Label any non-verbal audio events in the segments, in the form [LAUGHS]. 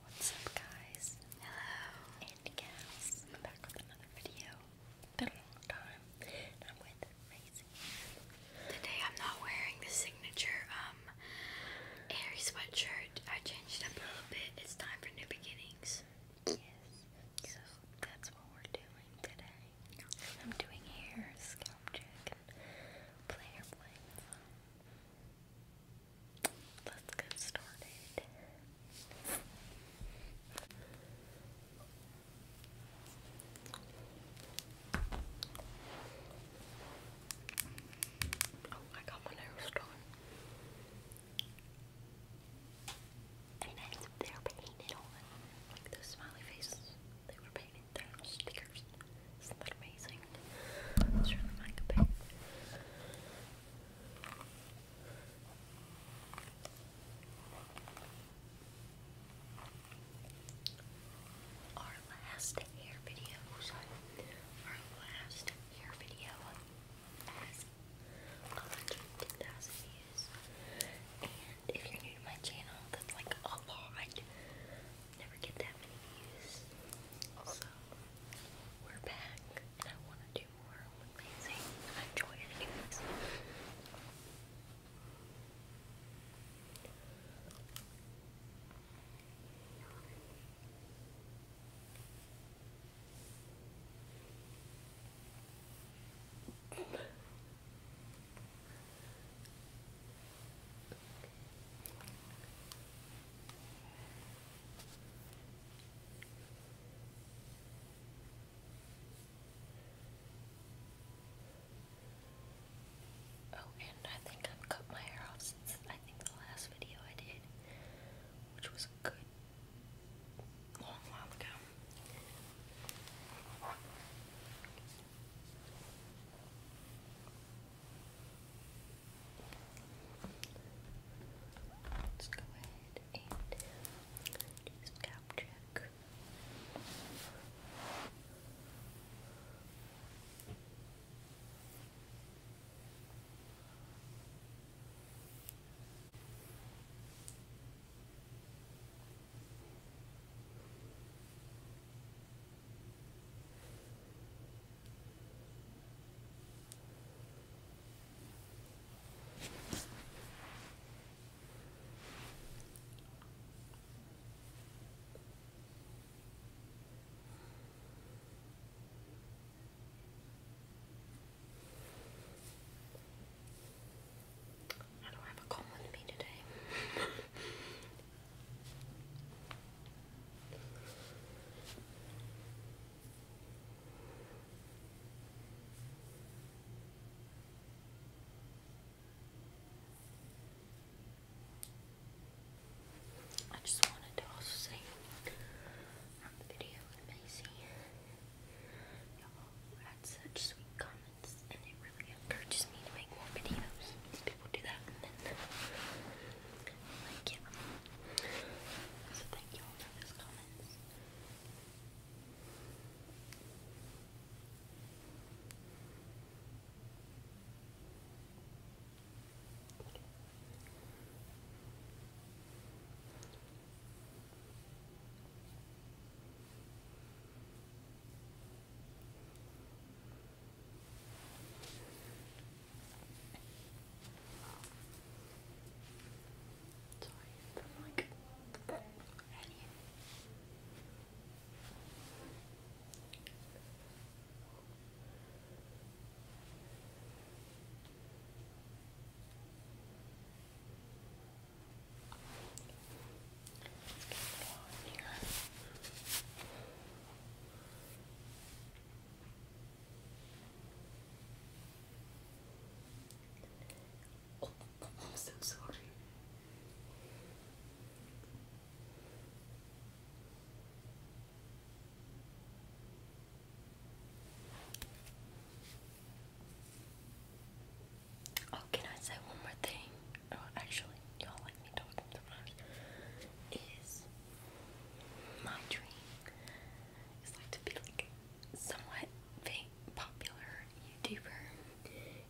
What's up guys? Hello and gals. I'm back with another video. been a long time. I'm with Maisie. Today I'm not wearing the signature um airy sweatshirt. I changed up a little bit. It's time for new beginnings. Yes. So that's what we're doing today. I'm doing hair, scalp check, and player play. Let's get started. Oh, I got my nails done. And they're painted on. Like smiley faces, they were painted, they're on stickers. Isn't that amazing? Let's turn Our last hair video, our last hair video has 110,000 views. And if you're new to my channel, that's like a lot never get that many views. So we're back and I wanna do more with I enjoy editing this. Okay. Oh, and I think I've cut my hair off since I think the last video I did, which was a good long while ago. Let's go ahead and do some I don't have a common me today. [LAUGHS] I just wanted to also say on um, video with y'all had such sweet comments, and it really encourages me to make more videos. People do that, and then like, yeah. So thank you all for those comments. Sorry, that's Let's get it here. Oh, I'm so sorry. Oh, can I say one more thing? oh, actually, y'all like me talking is my dream is like to be like somewhat fame, popular YouTuber,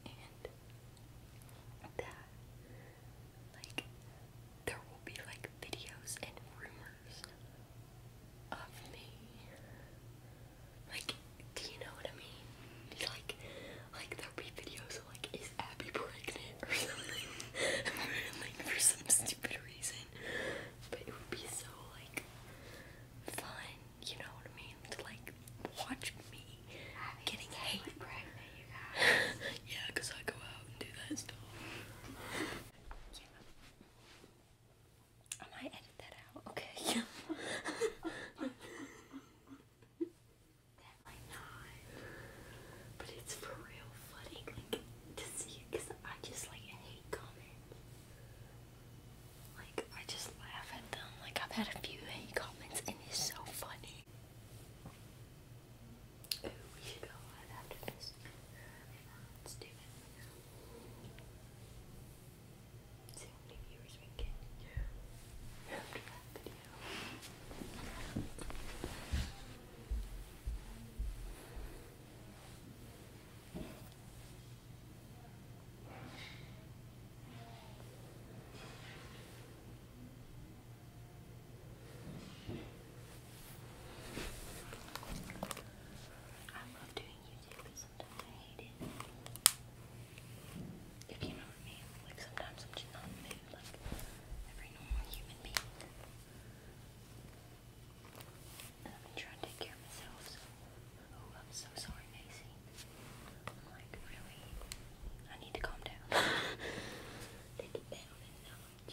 and like there will be like videos and rumors of me. Like, do you know what I mean? Like, like there'll be videos of like is Abby pregnant or [LAUGHS] something like for some stupid reason but it would be so like fun you know what I mean to like watch me Abby's getting hate pregnant you guys [LAUGHS] yeah cause I go out and do that stuff I might edit that out okay yeah [LAUGHS] Definitely not. But it's for real funny like, to see it because I just like hate comments. Like, I just laugh at them. Like, I've had a few hate comments and it's so funny. Ooh, should go after this. Let's do it. See how many viewers we get after that video. I love doing YouTube, but sometimes I hate it. If you know like sometimes I'm just not in like every normal human being. And I've trying to take care of myself, so oh, I'm so sorry, Macy. I'm like really, I need to calm down. [LAUGHS] take it down a notch.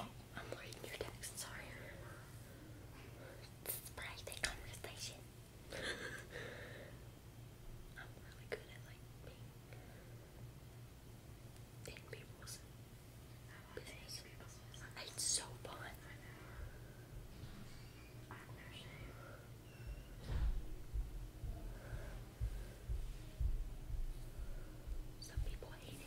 Oh, I'm reading your text, sorry. This is private conversation. [LAUGHS] I'm really good at like being people's it's so fun. Some people hate it.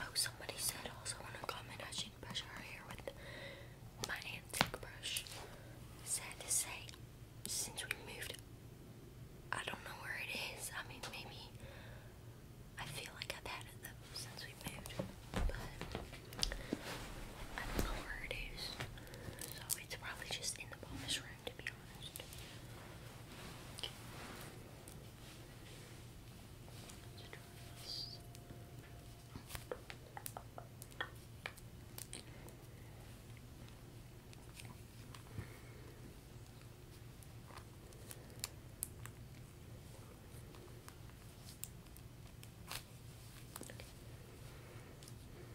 Oh, somebody said also in a comment I should brush her hair with my antique brush. Sad to say, since we moved, I don't know where it is. I mean, maybe I feel like I've had it though since we moved, but I don't know where it is. So it's probably just in the bonus room, to be honest.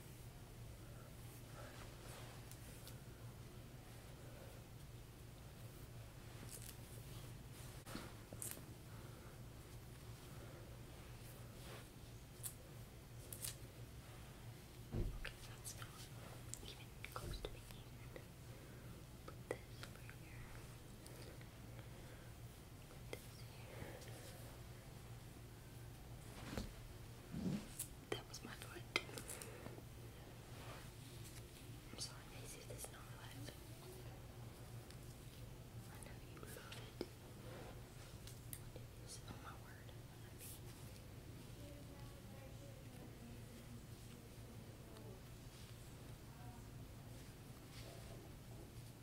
Okay, that's even close to being Put this over here. That was my foot. I'm sorry, guys, this is not live. I know you love it. What it is, oh my word.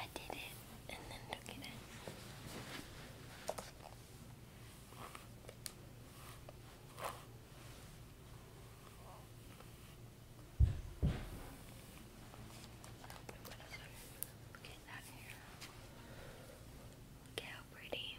I did it and then look at it. Look at that hair. Look at how pretty.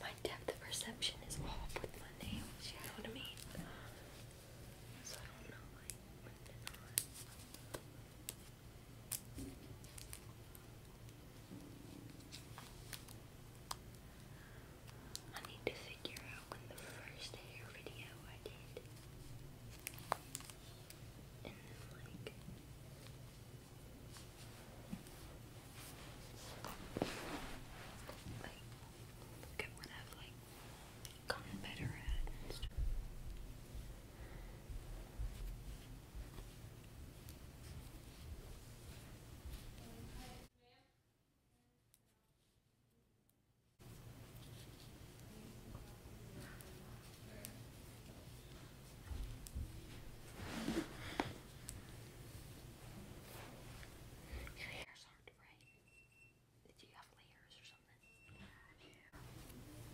my depth of perception is off with my nails, you know what I mean? So I don't know I need to figure out when the first hair video like good one I've like gotten better at your hairs aren't right. Do you have layers or something?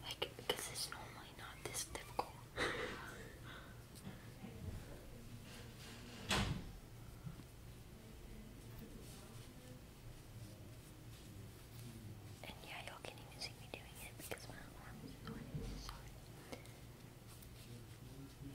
Like, it's normally not this difficult. And yeah, y'all can even see me doing it because my arm is in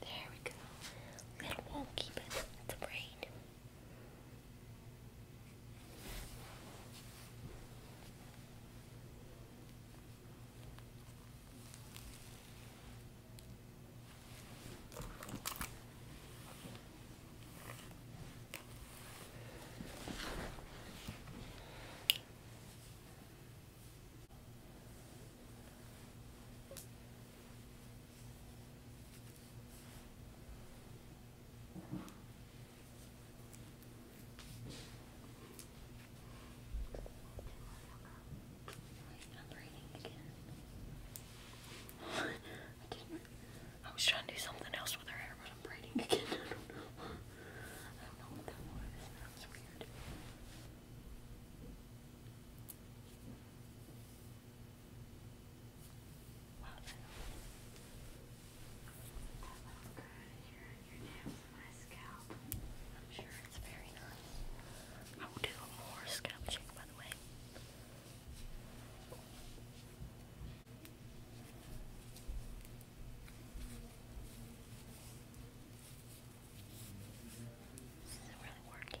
There we go. Little won't It's a braid i was trying to do something else with her hair, but I'm braiding again. [LAUGHS] I don't know. I don't know what that was. Well then, i will do more scalp check, by the way. This isn't really working.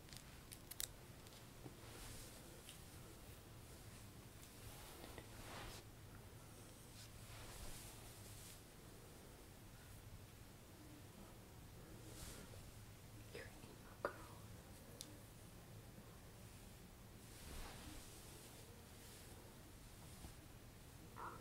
Your emo girl. Wow.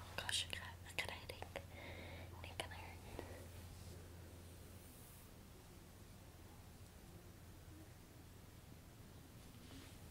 Oh gosh, I got, I got a headache. It kind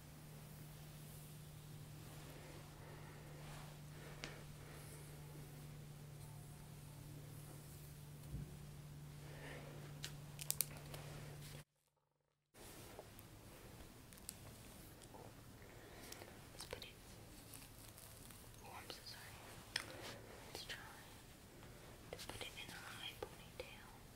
Let's put it. Oh, I'm so sorry. Let's try to put it in a high ponytail.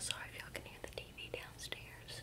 Sorry if y'all can hear the TV downstairs.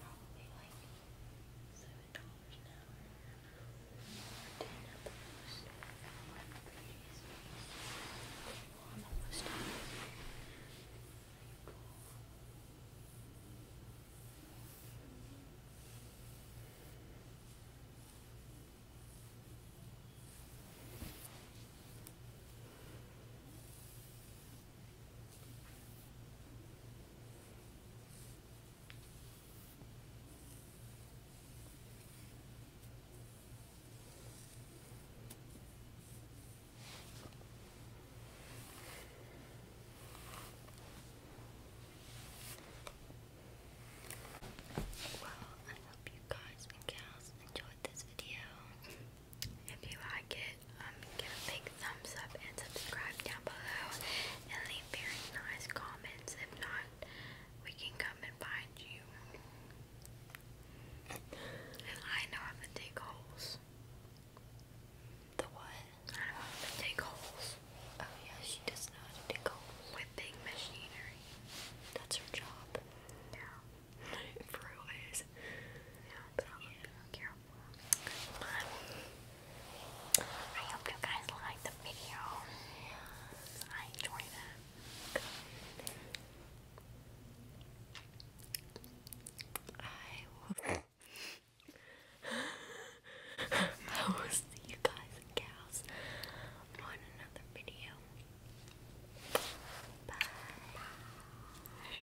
Probably like seven dollars an hour or ten at the most. One of those times. Cool. Well, I hope you guys and gals enjoyed this video. [LAUGHS] If you like it, um, give a big thumbs up and subscribe down below and leave very nice comments. If not, we can come and find you. I know how to dig holes. The what? I know how to dig holes. Oh yeah, she does know how to dig holes. With machinery. That's her job. Yeah. [LAUGHS] For always. Yeah, yeah. I hope you guys liked the video. I enjoyed it. I will [LAUGHS] see you guys and gals on another video. Bye.